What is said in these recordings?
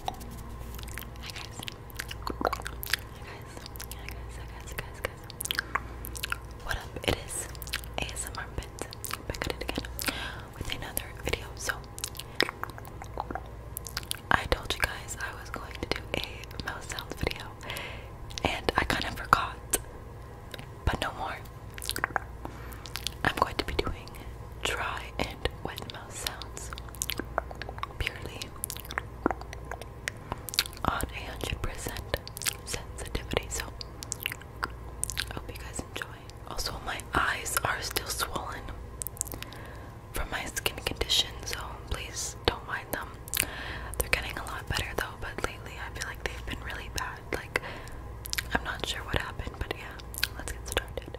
Hi guys. Hi guys. Hi guys. Hi guys. Guys. Guys. What up? It is ASMR Pins back at it again with another video. So I told you guys I was going to do a mouse sound video, and I kind of forgot. But no more. I'm going to be doing dry and wet sounds purely on a hundred percent sensitivity. So hope you guys enjoy. Also, my eyes are still swollen from my skin condition, so please don't mind them. They're getting a lot better though, but lately I feel like they've been really bad. Like, I'm not sure what happened, but yeah, let's get started.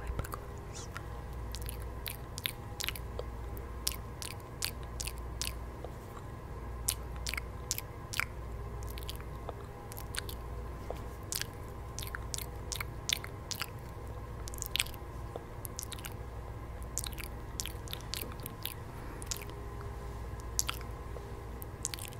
Whipicles. Whipicles.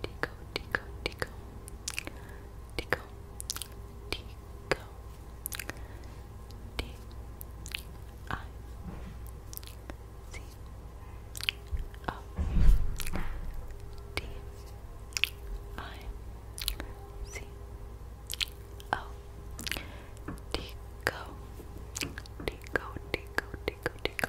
Tico, Tico, Tico, Tico, Tico, D I C O D I C O Tico, Tico, Tico, Tico, Tico. Tico,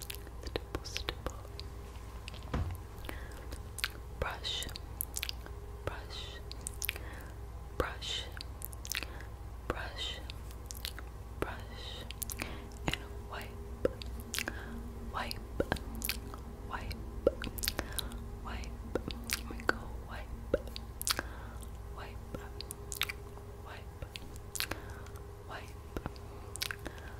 stipple, stipple. Brush, brush, brush, brush, brush, and wipe, wipe, wipe, wipe. Here we go, wipe, wipe, wipe, wipe. Wipe,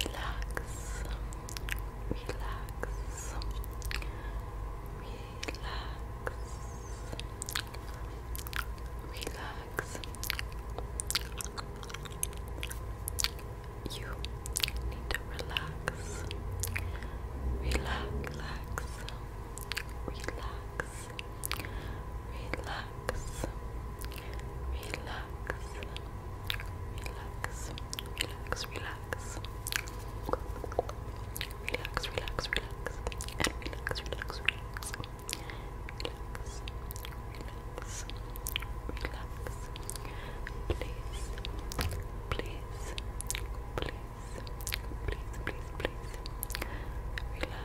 relax, relax, relax, relax. You need to relax, relax, relax, relax. relax relax, relax, relax, relax. Relax, relax, relax, and relax, relax, relax. Relax, relax, relax. Please, please, please, please, please, please. Relax,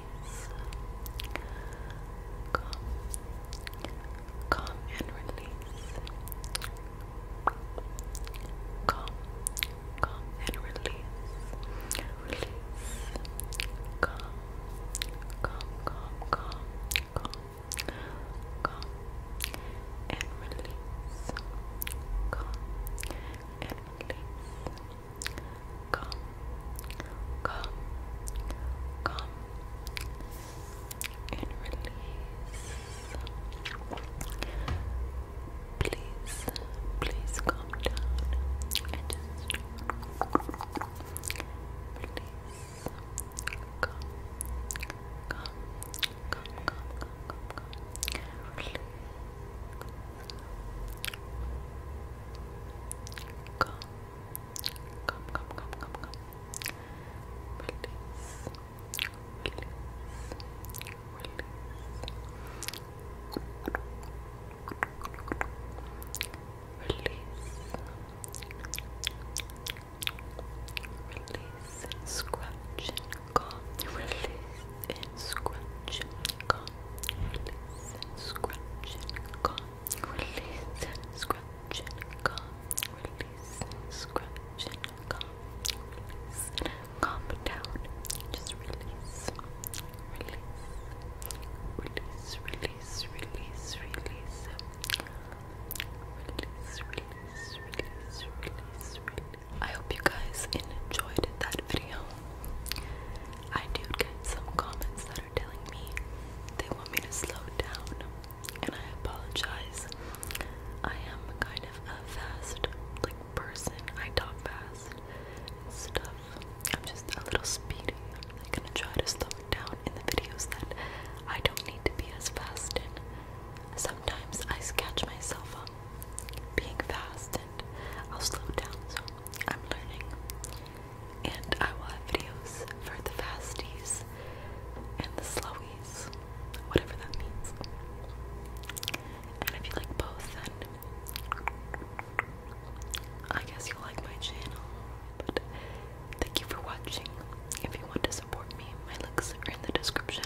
release. Calm, and release. Calm, calm and release. Release. Calm, calm, calm, calm, calm, calm and release. Calm and release come, come, come, and release. Please, please calm down and just please come, come, come, come, come, come, come. Come, Come, come, come, come, come. Release, release, release. Release, release, and scratch and calm. Release and scratch and calm. Release and scratch and calm. Release scratch and calm. Release scratch and calm. Release calm down. Just release. Release. Release, release, release, release. Release, release, release, release, release. I hope you guys enjoyed that video. I do get some comments that are telling me they want me to slow down, and I apologize. I am kind of a fast like person. I talk fast stuff. I'm just a little speedy. I'm gonna try to slow it down in the videos that I don't need to be as fast And Sometimes I catch myself up being fast and I'll slow down, so I'm learning and I will have videos for the fasties and the slowies, whatever that means. And if you like both, then I guess you like my channel. But thank you for watching. If you want to support me, my links are in the description.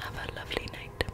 Have a lovely night.